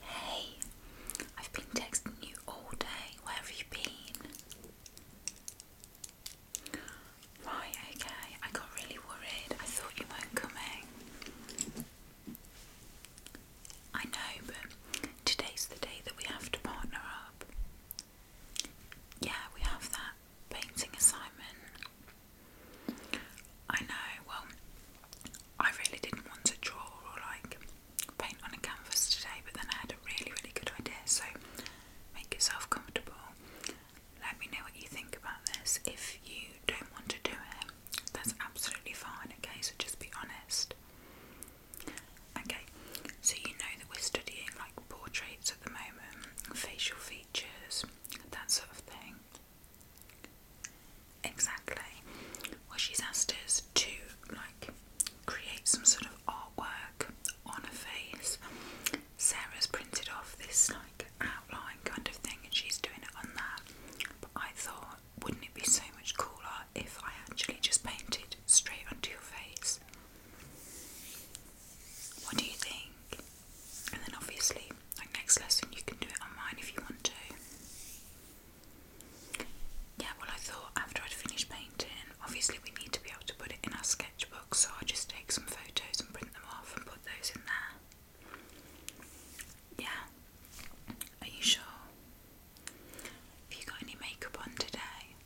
Hey, I've been texting you all day. Where have you been? Right, okay. I got really worried. I thought you weren't coming. I know, but today's the day that we have to partner up. Yeah, we have that painting assignment. I know, well, I really didn't want to draw or like paint on a canvas today, but then I had a really, really good idea. So make yourself comfortable. Let me know what you think about this. If you don't want to do it, that's absolutely fine, okay? So just be honest. Okay, so you know that we're studying like portraits at the moment, facial features, that sort of thing. Exactly. Well, she's asked us to like create some sort of artwork on her face. Sarah's printed off this like outline kind of thing, and she's doing it on that. But I thought, wouldn't it be so much cooler if I actually just painted straight onto your face? What do you think? And then obviously, like next lesson, you can do it online if you want to. Yeah, well, I thought after I'd finished painting, obviously, we need to be able to put it in our sketchbook, so I'll just take some photos and print them off and put those in there. Yeah, are you sure? Have you got any makeup on today?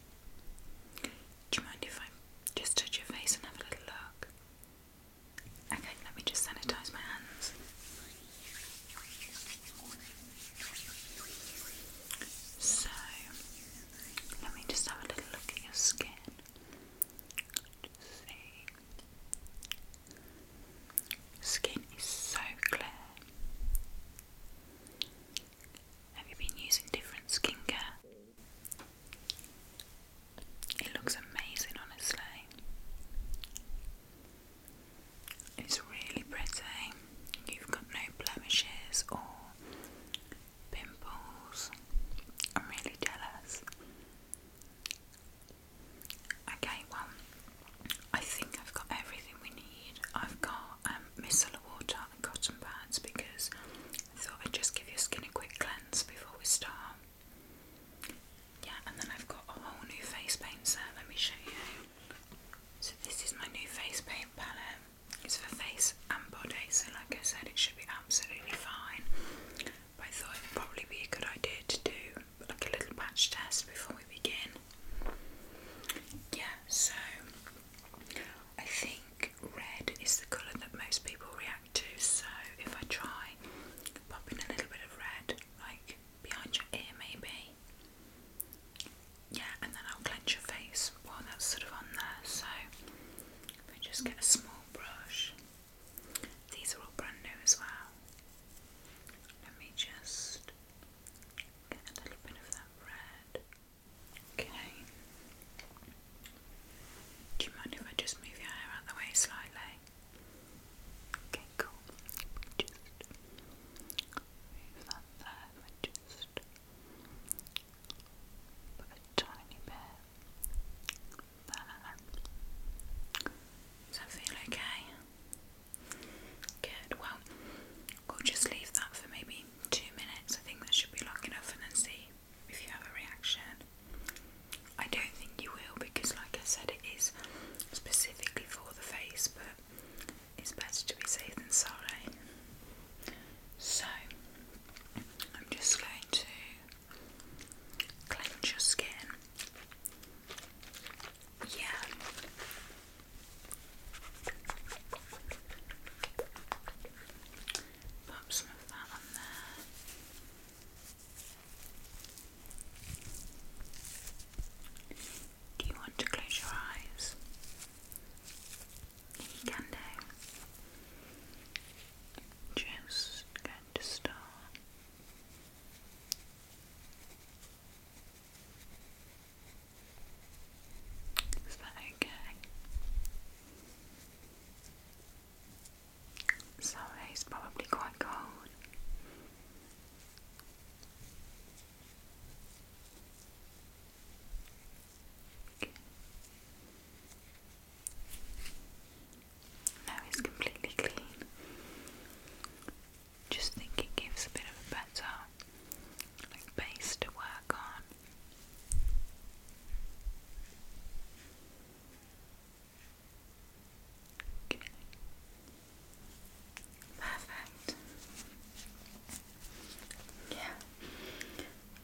Do you mind if I just touch your face and have a little look? Okay, let me just sanitize my hands. So, let me just have a little look at your skin. Skin is so clear. Have you been using different skincare? It looks amazing, honestly. It's really pretty. You've got no blemishes or pimples. I'm really jealous. Okay, well, I think I've got everything we need. I've got um, micellar water and cotton pads because I thought I'd just give your skin a quick cleanse before we start. Yeah, and then I've got a whole new face paint set. Let me show you. So this is my new face paint palette. It's for face and body, so like I said, it should be absolutely fine. But I thought it would probably be a good idea to do like a little patch test before we begin. Yeah, so I think red is the colour that most people react to, so if I try popping a little bit of red, like behind your ear maybe, yeah, and then I'll clench your face while that's sort of on there. So if I just get a small brush, these are all brand new as well. Let me just get a little bit of that red. Okay. Do you mind if I just move your hair out the way slightly? Okay, cool. Just move that there just put a tiny bit Does that feel okay? Good, well, we'll just leave that for maybe two minutes. I think that should be long enough and then see if you have a reaction. I don't think you will because, like I said, it is specifically for the face, but it's better to be safe than sorry. So, I'm just going to cleanse your skin. Yeah. Pop some of that Do you want to close your eyes? You can do. Just going to start. Is that okay? So it's probably quite cold. Okay. it's completely clean. Just think it gives a bit of a better like base to work on. Perfect. Yeah.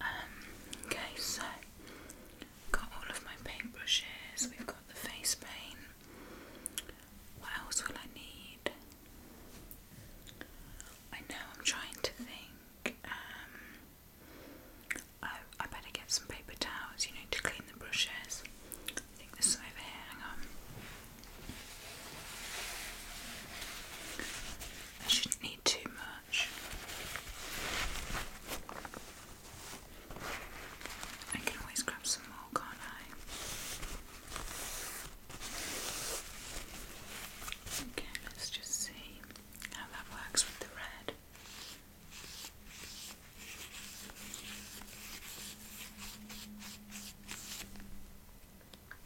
Um, okay, so got all of my paintbrushes, we've got the face paint. What else will I need? I know I'm trying to think. Um, I better get some paper towels, you know, to clean the brushes. I think there's over here, hang on. I shouldn't need too much. I can always grab some more, can't I? Okay, let's just see how that works with the red.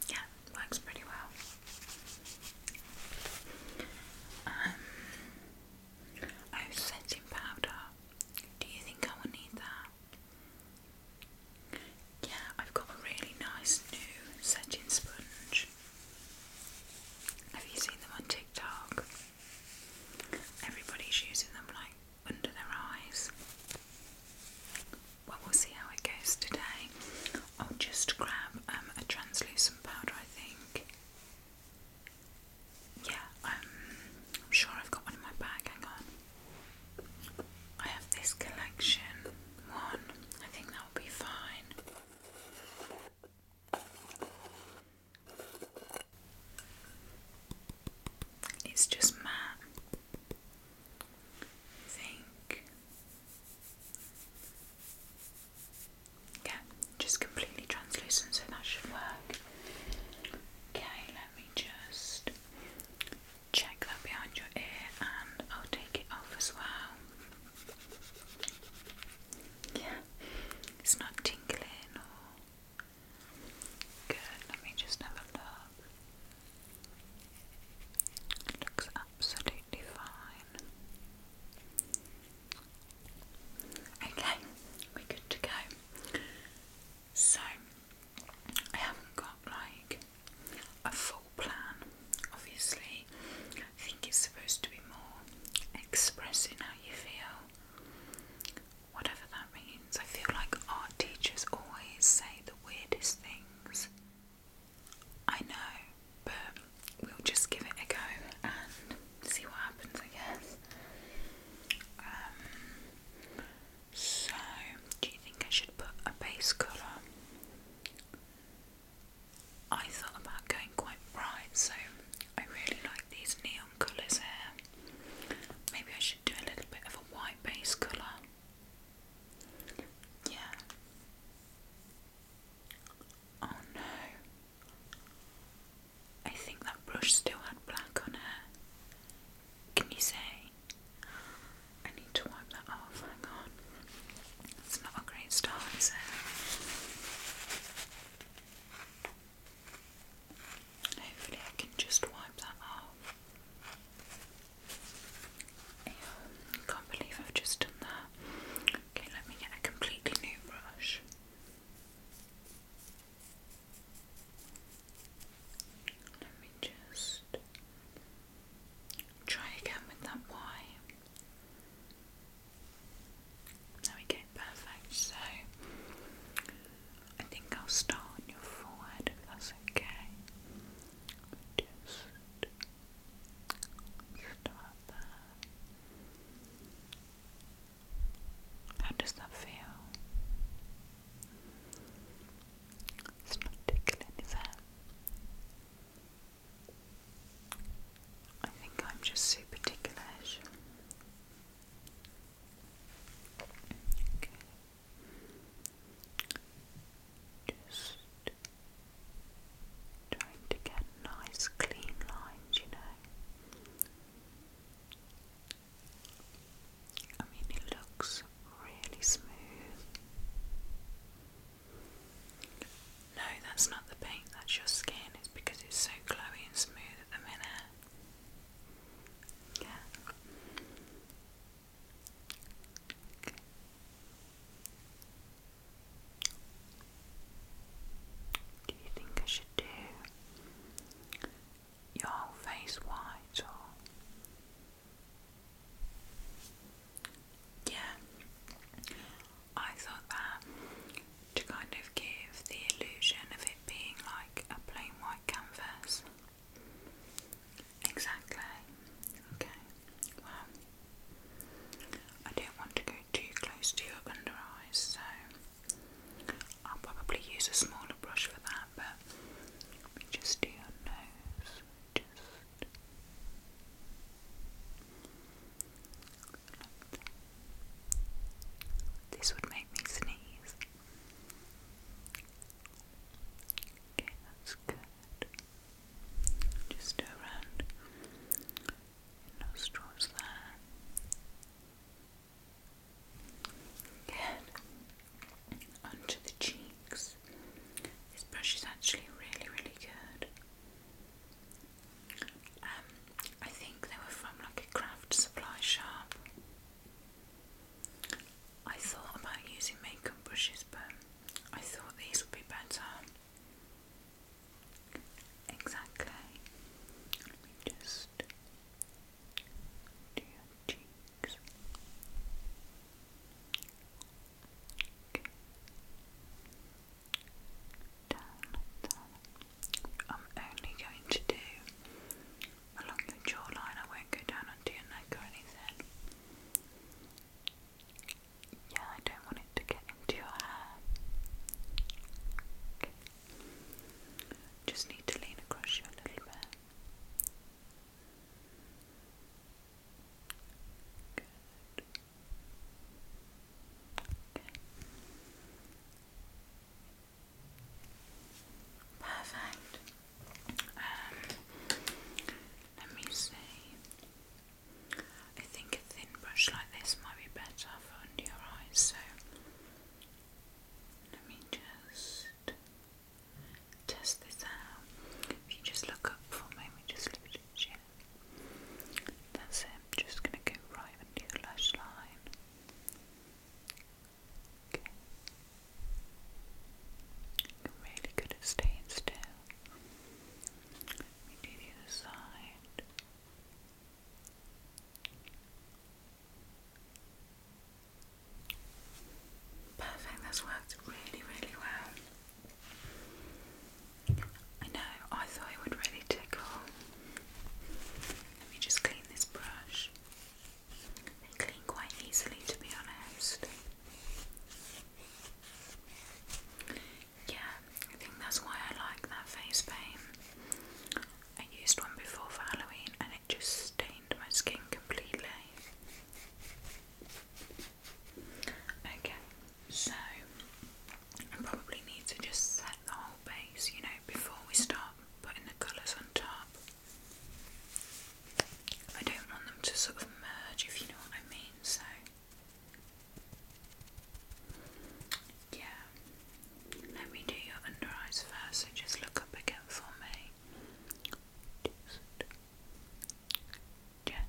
Yeah, works pretty well. Um, oh, setting powder. Do you think I will need that? Yeah, I've got a really nice new setting sponge. Have you seen them on TikTok? Everybody's using them like under their eyes. Well, we'll see how it goes today. I'll just grab um, a translucent powder, I think. Yeah, um, I'm sure I've got one in my bag. Hang on. I have this collection one. I think that'll be fine. It's just matte. I think. Yeah, just completely translucent, so that should work. Okay, let me just check that behind your ear and I'll take it off as well. Yeah, it's not tingling or. Good, let me just have a look. looks absolutely fine. Okay, we're good to go. So, I haven't got like a full plan. Obviously, I think it's supposed to be more expressing how you feel, whatever that means. I feel like art teachers always say the weirdest things. I know, but we'll just give it a go and see what happens, I guess. Um, so, do you think I should put a base colour? I thought about going quite bright, so I really like these neon colours here. Maybe I should do a little bit of a white base colour. Yeah. Oh no. I think that brush still had black on it. Can you say? I need to wipe that off my god. It's not a great start, is Hopefully I can just wipe that off. can't believe I've just done that. Okay, let me get a completely new brush. Let me just try again with that Y. There we go, perfect. So I think I'll start on your forehead that's okay. Just start there. How does that feel? It's not tickling, is it? I think I'm just super particular. Just trying to get nice clean lines, you know. I mean, it looks really smooth. No, that's not the paint, that's your skin. It's because it's so glowy and smooth at the minute. Do you think I should do your whole face white yeah, I thought that to kind of give the illusion of it being like a plain white canvas. Exactly. Okay. Well, I don't want to go too close to your under eyes, so I'll probably use a smaller brush for that, but we just do your nose this would make me sneeze. Okay, that's good. Just around nostrils there. Good. Onto the cheeks. This brush is actually really, really good. Um, I think they were from like a craft supply shop. I thought about using makeup brushes, but I thought these would be better. Exactly. just do cheeks. I'm only going to do along your jawline. I won't go down onto your neck or anything. Yeah, I don't want it to get into your hair. Just need to lean across you a little bit. Good. Perfect. Um, let me see. I think a thin brush like this might be better for under your eyes, so let me just test this out. If you just look up for me, we just look at your that's it. I'm just going to go right under your lash line. Okay. really good at staying still. Let the other side. Perfect, that's worked really, really well. I know, I thought it would really tickle. Let me just clean this brush. They clean quite easily, to be honest. Yeah, I think that's why I like that face paint. I used one before for Halloween and it just stained my skin completely. Okay, so I probably need to just set the whole base, you know, before we start putting the colours on top. I don't want them to sort of merge, if you know what I mean, so yeah. Let me do your under eyes first, so just look up again for me gently.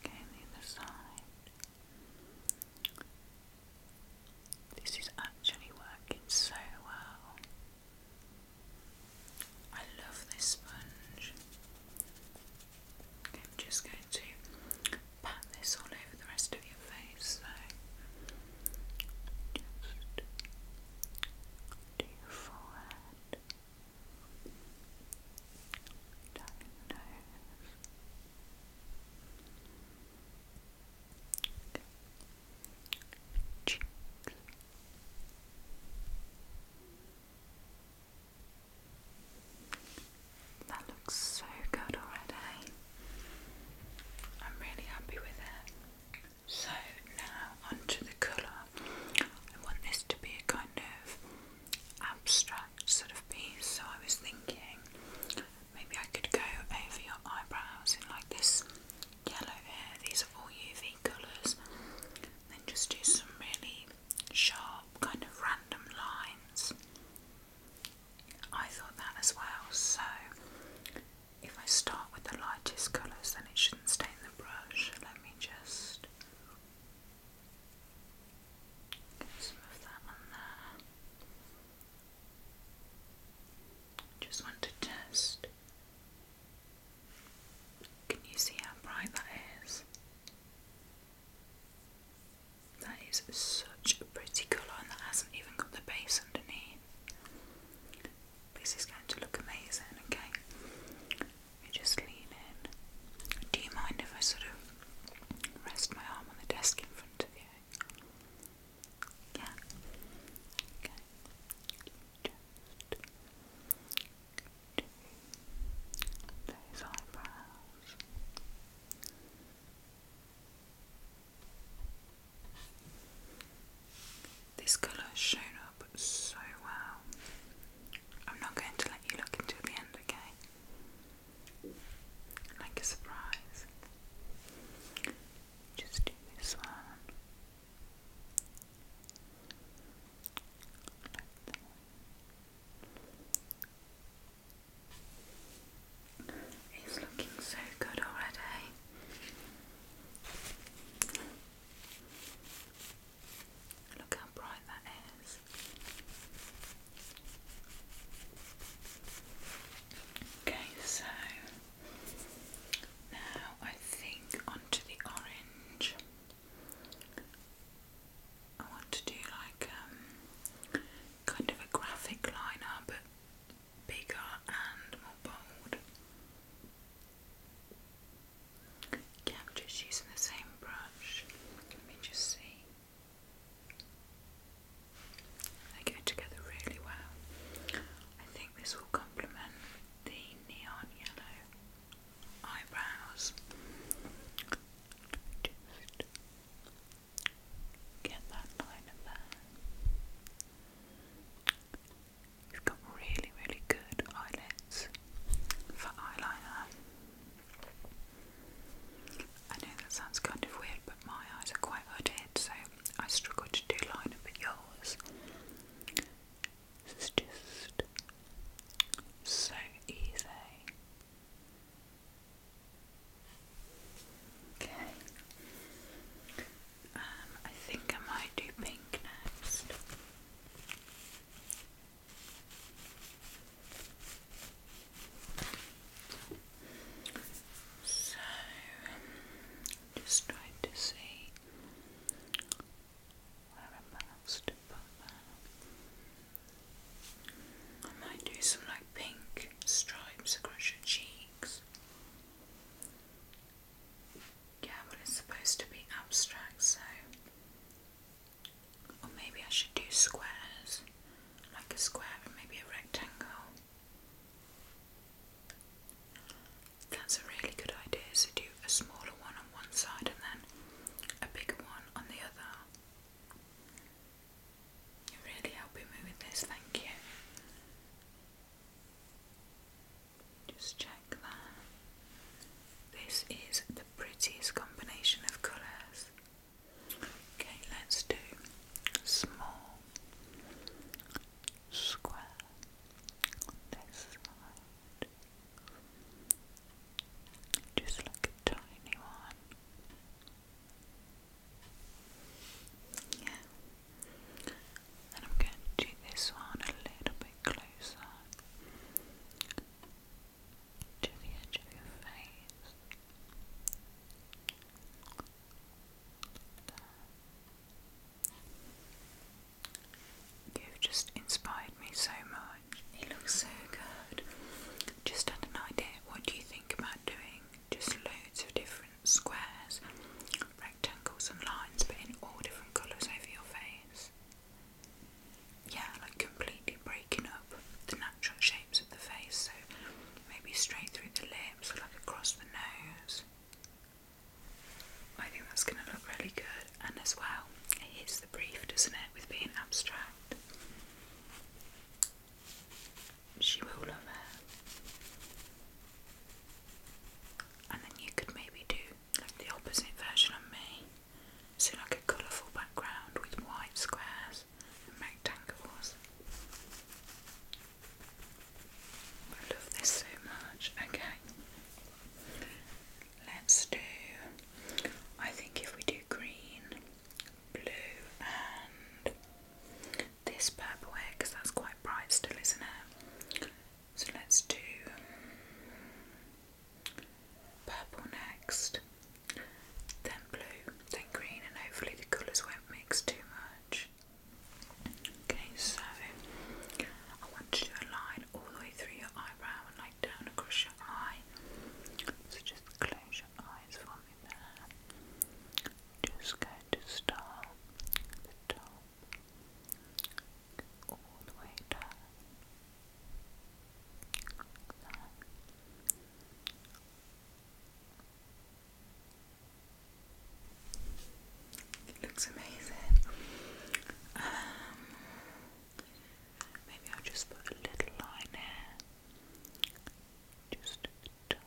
Okay, the other side. This is actually working so well. I love this sponge. Okay, I'm just going to pat this all over the rest to your face, so just your forehead, your nose. That looks so good already. I'm really happy with it. So now onto the colour. I want this to be a kind of abstract sort of piece. So I was thinking maybe I could go over your eyebrows in like this yellow here. These are all UV colours. Then just do some really sharp kind of random lines. I thought that as well. So if I start with the lightest colours, then it shouldn't stain the brush. Let me just get some of that on there. Just want to test. Can you see how bright that is? That is such a pretty colour, and that hasn't even got the base underneath. This is going to look amazing, okay? You just lean in. Do you mind if I sort of rest my arm on the desk in front of you? Yeah? Okay. those eyebrows. This colour has shown up so well. I'm not going to let you look until the end, okay? Like a surprise. Just do this one. Like it's looking so good already. Look how bright that is. Okay, so now I think onto the orange. I want to do like um, kind of a graphic liner but bigger and more bold. I'm just using the same brush. Let me just see. They go together really well. I think this will complement the neon yellow eyebrows. Get that line there. You've got really, really good eyelids for eyeliner. I know that sounds kind of weird, but my eyes are quite hooded, so I struggle to do liner, but yours. This is just so easy. Okay. Um, I think I might do pink next. So, just trying to see where else to put I might do some like pink stripes across your cheeks. Yeah, well, it's supposed to be abstract, so. Or maybe I should do squares, like a square and maybe a rectangle. That's a really good idea. So, do a smaller one on one side and then a bigger one on the other you really helping me with this, thank you. Just check that. This is the prettiest combination of colours. Okay, let's do small, square this side. Just like a tiny one. Yeah. And I'm going to do this one a little bit closer to the edge of your face. You've just inspired me so much. It looks so good. Just had an idea. What do you think about doing just loads of different? squares, rectangles, and lines, but in all different colours over your face. Yeah, like completely breaking up the natural shapes of the face, so maybe straight through the lips, like across the nose. I think that's going to look really good, and as well, it hits the brief, doesn't it, with being abstract she will love her. And then you could maybe do like the opposite version of me. So like a colourful background with white squares and rectangles. I love this so much. Okay. Let's do I think if we do green, blue and this purple hair because that's quite bright still, isn't it? So let's do purple next, then blue, then green, and hopefully the colours won't mix too much. Okay, so I want to do a line all the way through your eyebrow and like down across your eye. So just close your eyes for just going to start at the top, all the way down, It looks amazing. Um, maybe I'll just put a little line here, just at the top.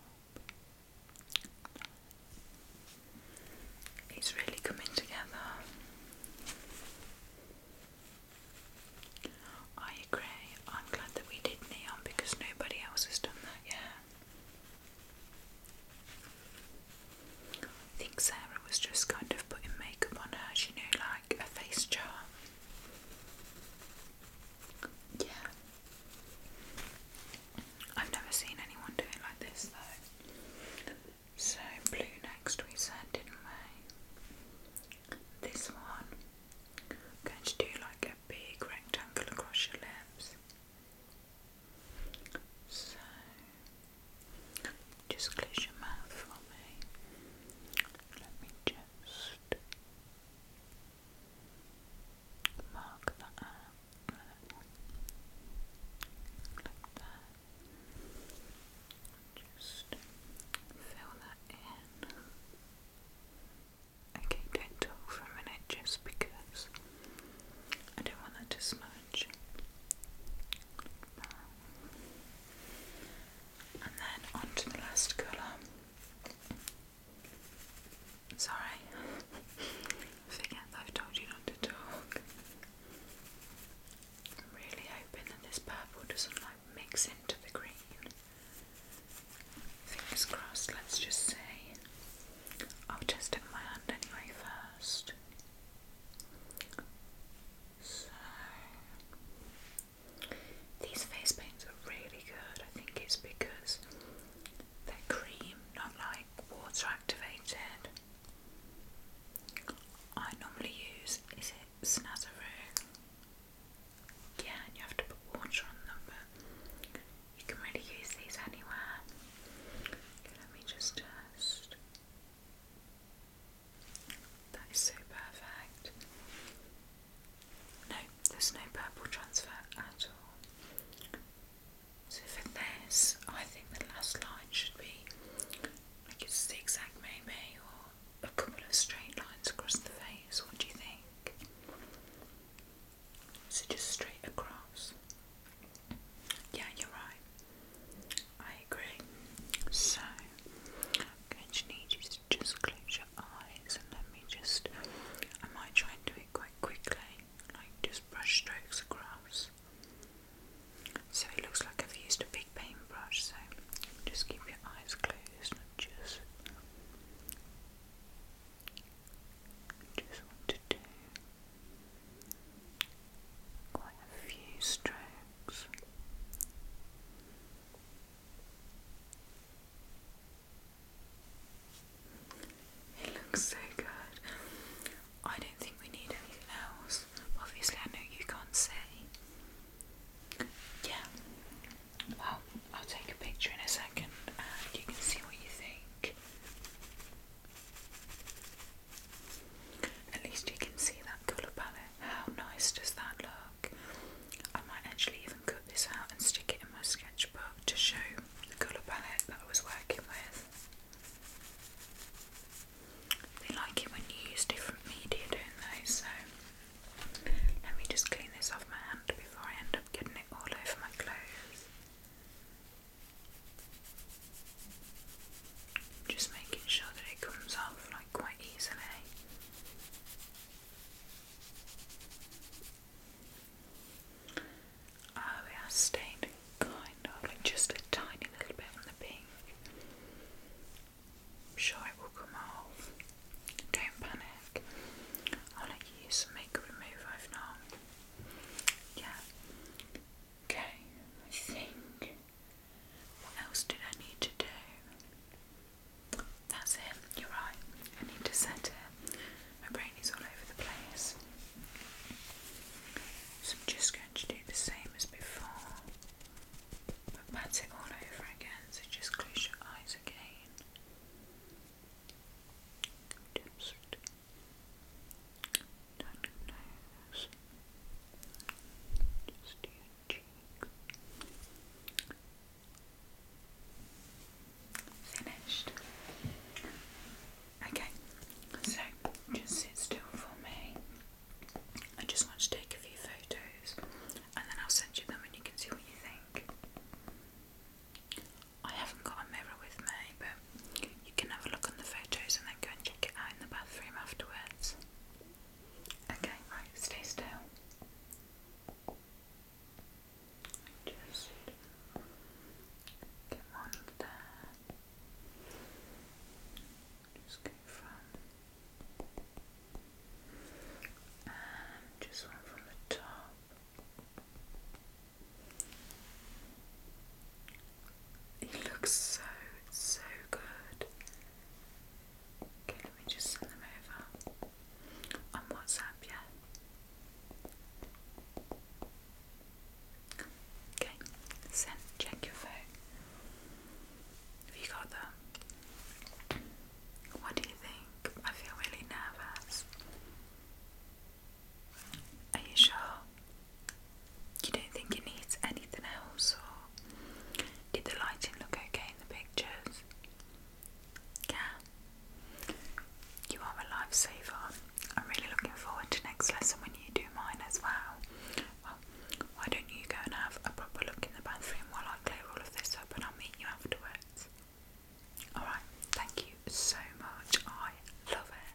It's really coming together. I agree. I'm glad that we did neon because nobody else has done that yet. I think Sarah was just kind of putting makeup on her, you know, like a face jar. Yeah. I've never seen anyone do like this though. So, blue next we said, didn't we? This one. going to do like a big rectangle across your lips. So, just close your mouth for me. Let me just. Mark that out like Just fill that in. Okay, don't talk for a minute just because I don't want that to smudge. And then onto the last colour. Sorry, forget I've told you not to talk. I'm really hoping that this purple doesn't like mix into the green. Fingers crossed, let's just say. I'll test it with my hand anyway first. So, these face paints are really good. I think it's because they're cream, not like water activated. I normally use, is it Snazaroo? Yeah, and you have to put water on them, but you can really use these anywhere. let me just test. That is so perfect. No, there's no purple transfer at all. So for this, I think the last line should be like a zigzag maybe, or a couple of straight lines across the face. What do you think? So just straight across. Yeah, you're right. I agree. So I'm going to need you to just close your eyes and let me just I might try and do quite quickly, like just brush strokes across. So it looks like I've used a big paintbrush, so just keep your eyes closed and just, just want to do quite a few strokes. It looks so good. I don't think we need anything else. Obviously, I know you can't see. Yeah. Well, I'll take a picture in a second and you can see what you think. At least you can see that colour palette. How nice does that look? I might actually even cut this out and stick it in my sketchbook to show the colour palette that I was working with. They like it when you use different media, don't they? So let me just clean this off my hand before I end up getting it all over my clothes. Just making sure that it comes off like quite easily. Oh, it stained kind of like just a tiny little bit on the pink. I'm sure it will come off. Don't panic. I'll let you use some makeup remover I've Yeah. Okay, I think. What else did I need to do? That's it, you're right. I need to set it. My brain is all over the place. So I'm just going to do the same as before. But pat it all over again, so just close your eyes again. Just down your nose. Just your cheek. Finished. Okay, so just sit still for me. I just want to take a few photos and then I'll send you them and you can see what you think. I haven't got a mirror with me, but you can have a look on the photos and then go and check it out in the bathroom afterwards. Okay, right, stay still. Just get one Just go from and just one from the top. It looks so so good. Okay, let me just send them over on WhatsApp. Yeah, Okay, send, check your phone. Have you got them? What do you think? I feel really nervous. Are you sure? You don't think it needs anything else, did the lighting look okay in the pictures? Yeah. You are a lifesaver. I'm really looking forward to next lesson when you do mine as well. Well, why don't you go and have a proper look in the bathroom while I clear all of this up and I'll meet you afterwards. Alright, thank you so much. I love it.